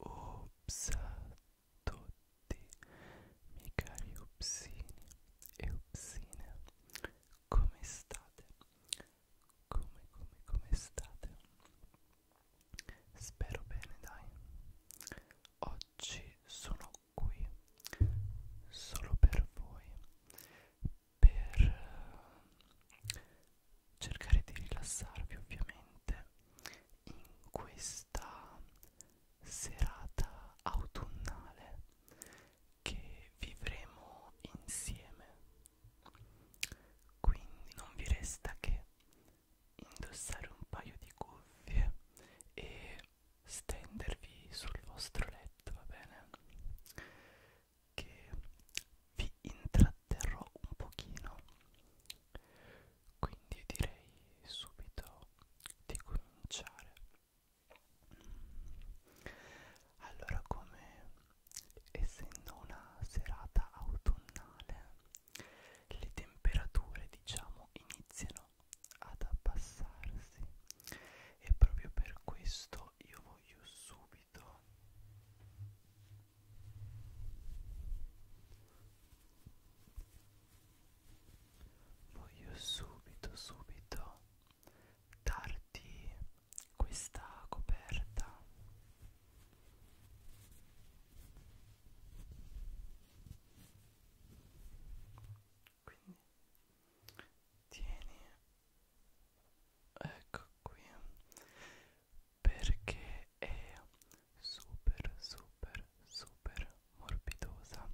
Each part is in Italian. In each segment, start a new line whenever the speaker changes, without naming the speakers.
Ops a tutti, miei cari upsini e upsine, come state? Come, come, come state? Spero bene, dai. Oggi sono qui solo per voi per eh, cercare di rilassarvi ovviamente in questa serata autunnale che vivremo insieme quindi non vi resta che indossare un paio di cuffie e stendervi sul vostro letto, va bene? Che vi intratterrò un pochino. Quindi direi subito di cominciare. Allora, come essendo una serata autunnale, le temperature diciamo iniziano tendono ad abbassarsi e proprio per questo io voglio subito voglio subito subito darti questa coperta quindi tieni ecco qui perché è super super super morbidosa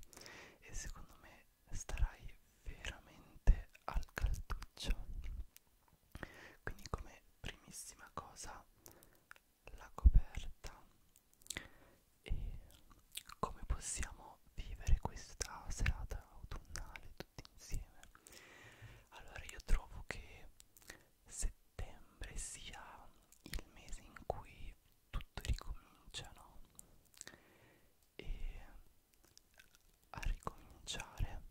e secondo me starai veramente al calduccio quindi come primissima cosa la coperta e come possiamo vivere questa serata autunnale tutti insieme allora io trovo che settembre sia il mese in cui tutto ricomincia no? e a ricominciare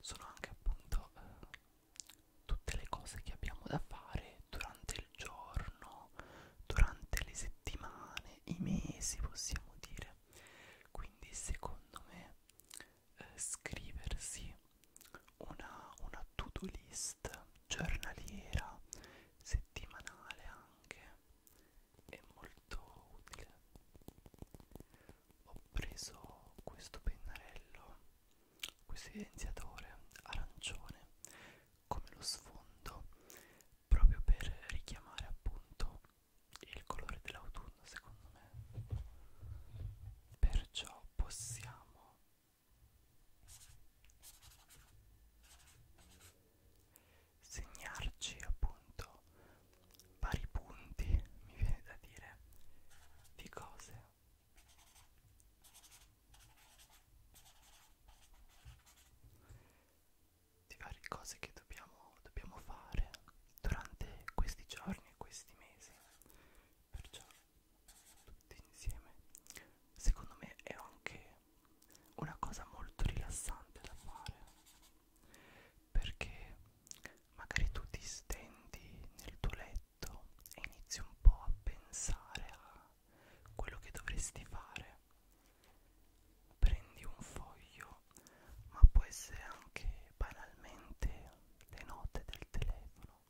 sono anche appunto eh, tutte le cose che abbiamo da fare durante il giorno, durante le settimane, i mesi possiamo dire. Quindi secondo me eh, scriversi una, una to-do list giornaliera, settimanale anche, è molto utile. Ho preso questo pennarello questo evidenziatore arancione come lo sfondo proprio per richiamare appunto il colore dell'autunno secondo me perciò possiamo segnarci appunto vari punti mi viene da dire di cose di varie cose che dobbiamo, dobbiamo fare durante questi giorni e questi mesi perciò tutti insieme secondo me è anche una cosa molto rilassante da fare perché magari tu ti stendi nel tuo letto letto e inizi un po' a pensare a quello che dovresti fare. Prendi un foglio, ma può essere anche banalmente le note del telefono.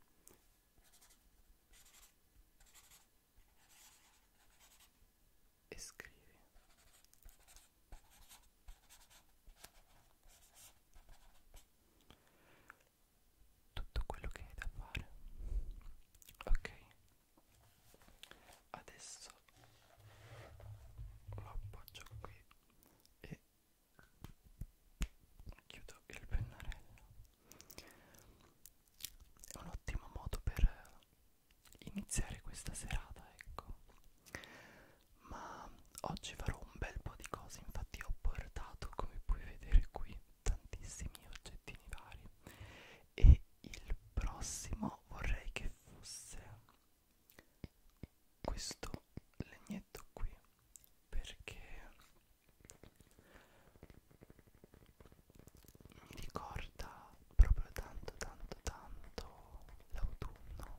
E scrivi tutto quello che hai da fare ok adesso lo appoggio qui e chiudo il pennarello è un ottimo modo per iniziare questa serata ecco ma oggi farò un bel po' di cose infatti ho portato come puoi vedere qui tantissimi oggettini vari e il prossimo vorrei che fosse questo legnetto qui perché mi ricorda proprio tanto tanto tanto l'autunno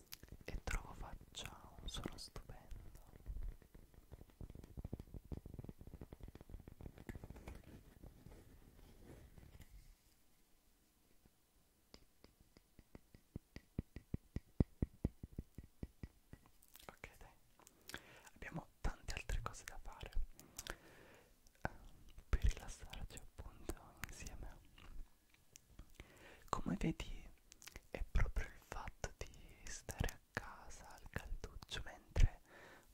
e trovo faccia un suono stupendo ok dai abbiamo tante altre cose da fare um, eh, per rilassarci appunto insieme come vedi è proprio il fatto di stare a casa al calduccio mentre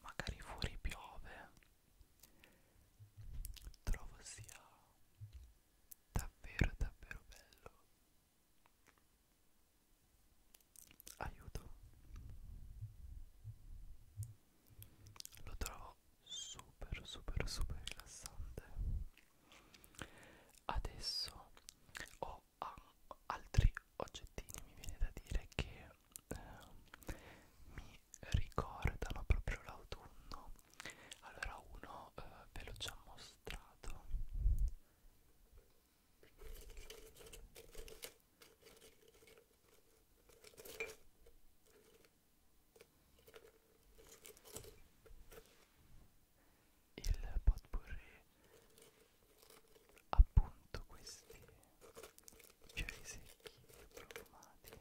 magari fuori piove trovo sia davvero davvero bello aiuto lo trovo super super super rilassante adesso ho altri oggettini mi viene da dire che eh, mi ricordano proprio l'autunno allora uno eh, ve l'ho già mostrato il potpourri appunto questi fiori secchi e profumati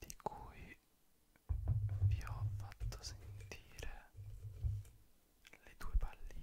di cui vi ho fatto sentire le due palline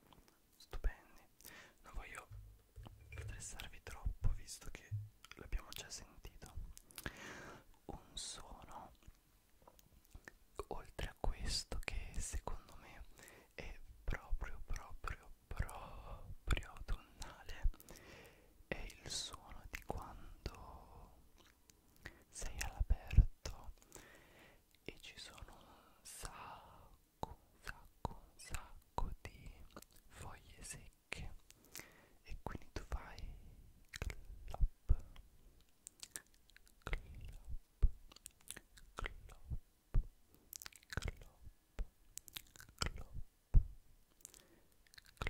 stupendi non voglio stressarvi troppo visto che l'abbiamo già sentito un suono oltre a questo che secondo me è proprio proprio proprio autunnale è il suono di quando sei all'aperto e ci sono un sacco, un sacco, un sacco di foglie secche e quindi tu fai clop, clop, clop, clop, clop, clop, clop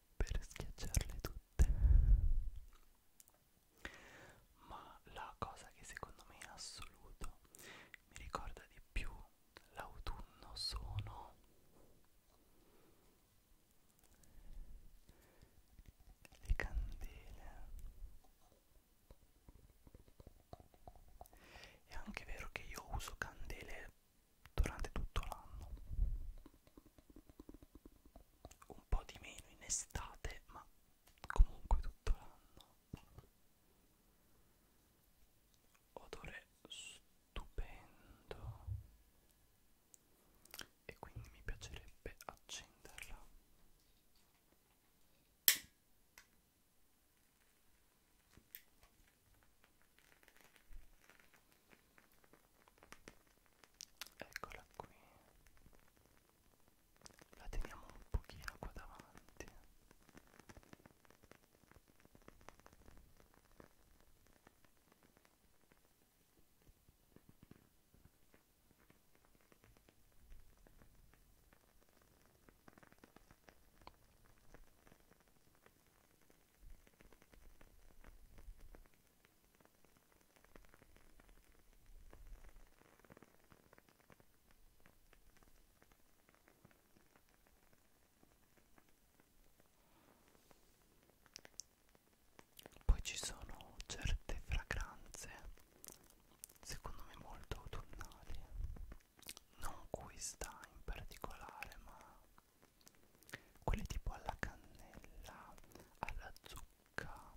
per schiacciarle tutte ma la cosa che secondo me in assoluto mi ricorda di più l'autunno sono le candele è anche vero che io uso candele durante tutto l'anno un po' di meno in estate, ma comunque tutto l'anno. Odore stupendo. E quindi mi piacerebbe accenderla eccola qui la teniamo un pochino qua davanti poi ci sono certe fragranze, secondo me molto autunnali, non questa in particolare, ma quelle tipo alla cannella, alla zucca,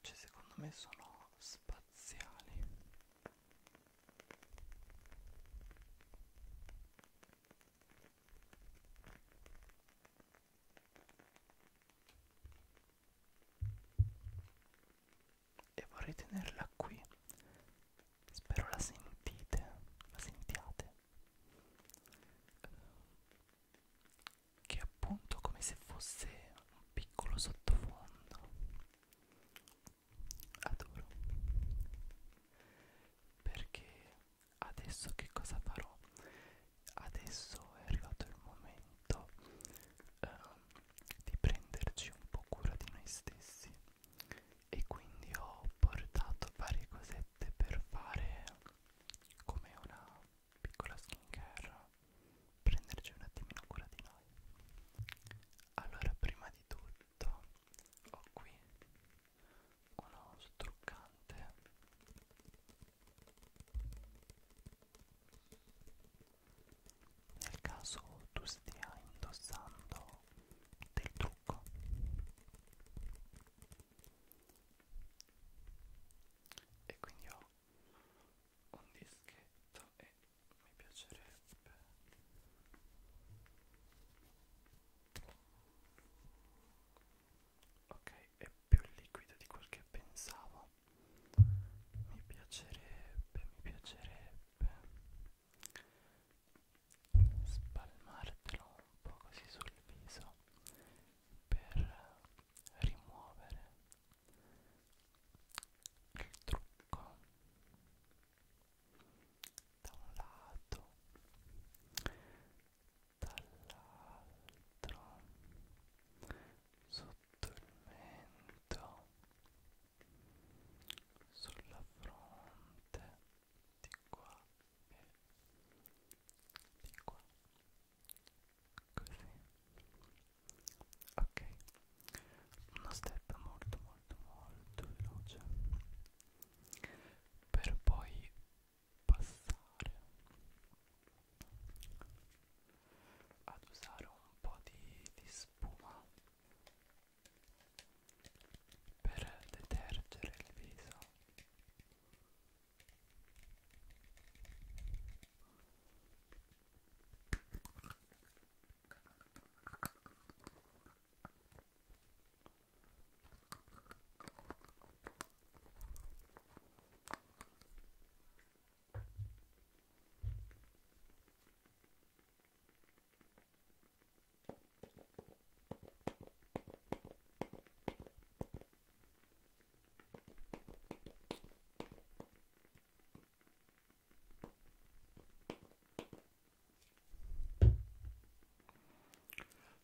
cioè secondo me sono spaziali. E vorrei tenerla qui spero la sentite, la sentiate, ehm, che è appunto come se fosse un piccolo sottofondo, adoro, perché adesso che cosa farò? Adesso è arrivato il momento eh, di prenderci un po' cura di noi stessi e quindi ho portato varie cosette per fare come una piccola skincare prenderci un attimino cura di noi allora prima di tutto ho qui uno struccante nel caso tu stia indossando del trucco ecco e quindi ho un dischetto e mi piacerebbe ok è più liquido di quel che pensavo mi piacerebbe mi piacerebbe spalmartelo un po' così sul viso per rimuovere il trucco da un lato dall'altro sotto il mento sulla fronte di qua e di qua così ok uno step molto molto molto veloce per poi passare ad usare un po' di, di spuma per detergere il viso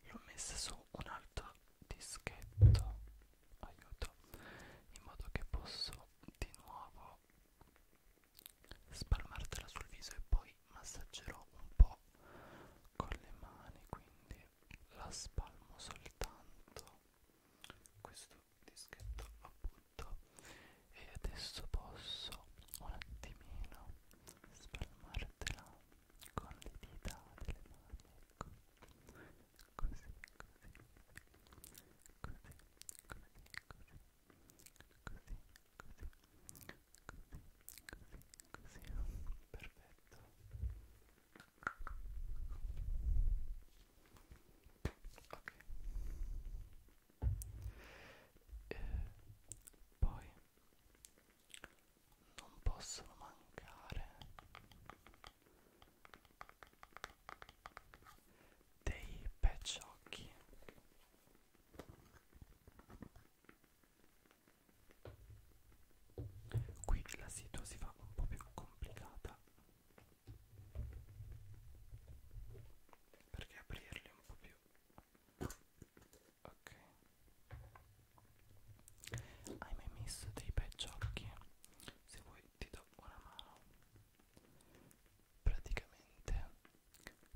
L'ho messa su un altro dischetto, aiuto, in modo che posso di nuovo spalmartela sul viso e poi massaggerò un po' con le mani quindi la spalmo soltanto questo dischetto lo butto e adesso posso un attimino spalmartela con le dita delle mani ecco così così così così così così, così, perfetto ok e poi non possono mancare dei pecciocchi qui la sito si fa un po' più complicata perché aprirli un po' più ok hai mai messo dei peggiocchi se vuoi ti do una mano praticamente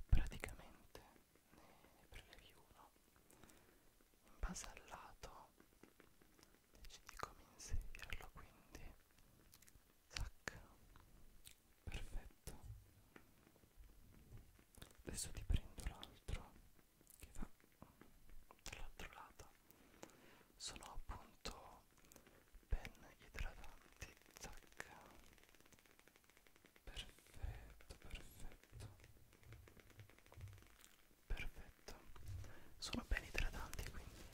praticamente ne prelevi uno in base al lato decidi come inserirlo quindi zac perfetto adesso ti prendo l'altro che va dall'altro lato sono appunto pen idratanti zac perfetto perfetto perfetto sono ben idratanti quindi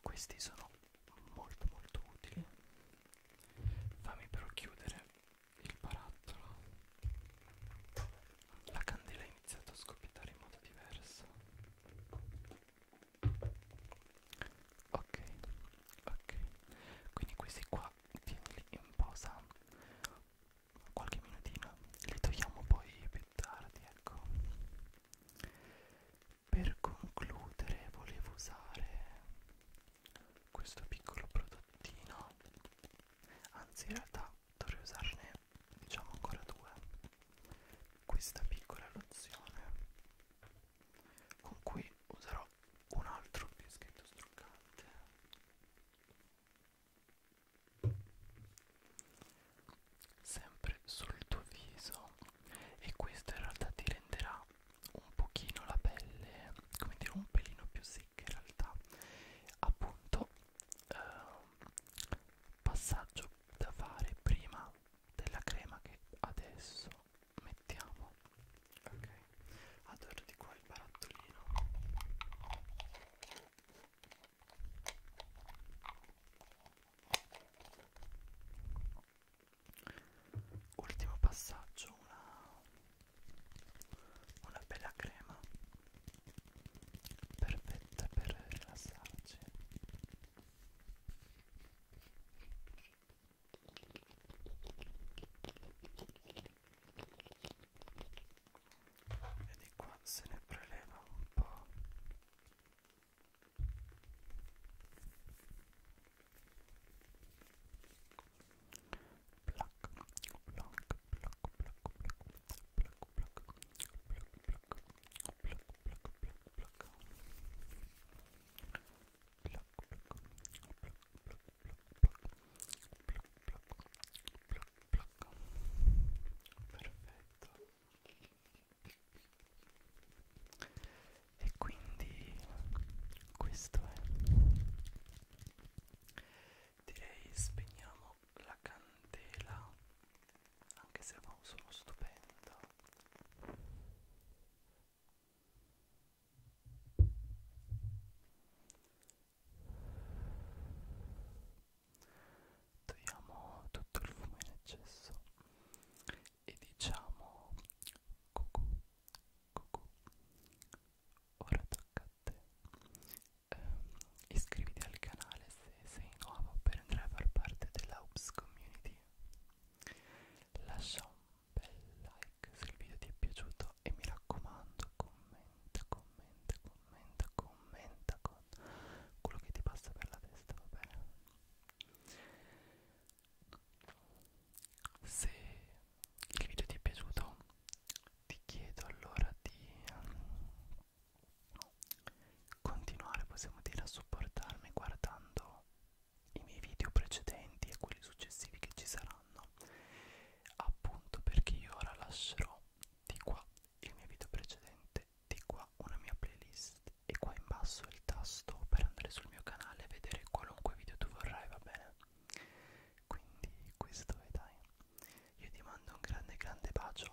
questi sono molto molto utili fammi però chiudere il barattolo la candela ha iniziato a scoppiettare in modo diverso ok ok quindi questi qua tienili in posa qualche minutino li togliamo poi più tardi ecco per concludere volevo usare questo piccolo prodottino anzi in realtà dovrei usarne diciamo ancora due questa piccola lozione con cui userò un altro bischetto struccante sempre sul tuo viso e questo in realtà ti renderà un pochino la pelle come dire un pelino più secca in realtà appunto eh, passaggio da fare prima della crema che adesso mettiamo ok adoro di qua il barattolino ultimo passaggio una, una bella crema perfetta per rilassarci e di qua se ne preleva un po' Black, black, black, black, black, pluck, pluck, pluck, pluck, pluck, pluck, pluck, pluck. Perfetto. E quindi questo è. Direi spegniamo la candela anche se ha un suono stupendo togliamo tutto il fumo in eccesso e diciamo cucù cucù ora tocca a te ehm, iscriviti al canale se sei nuovo per entrare a far parte della Ups Community lascia un bel like se il video ti è piaciuto e mi raccomando commenta commenta commenta commenta con quello che ti passa per la testa va bene se il video ti è piaciuto ti chiedo allora di um, Continuare possiamo dire a supportarmi guardando i miei video precedenti e quelli successivi che ci saranno appunto perché io ora lascerò di qua il mio video precedente di qua una mia playlist e qua in basso il tasto per andare sul mio canale e vedere qualunque video tu vorrai va bene quindi questo è dai io ti mando un grande grande bacio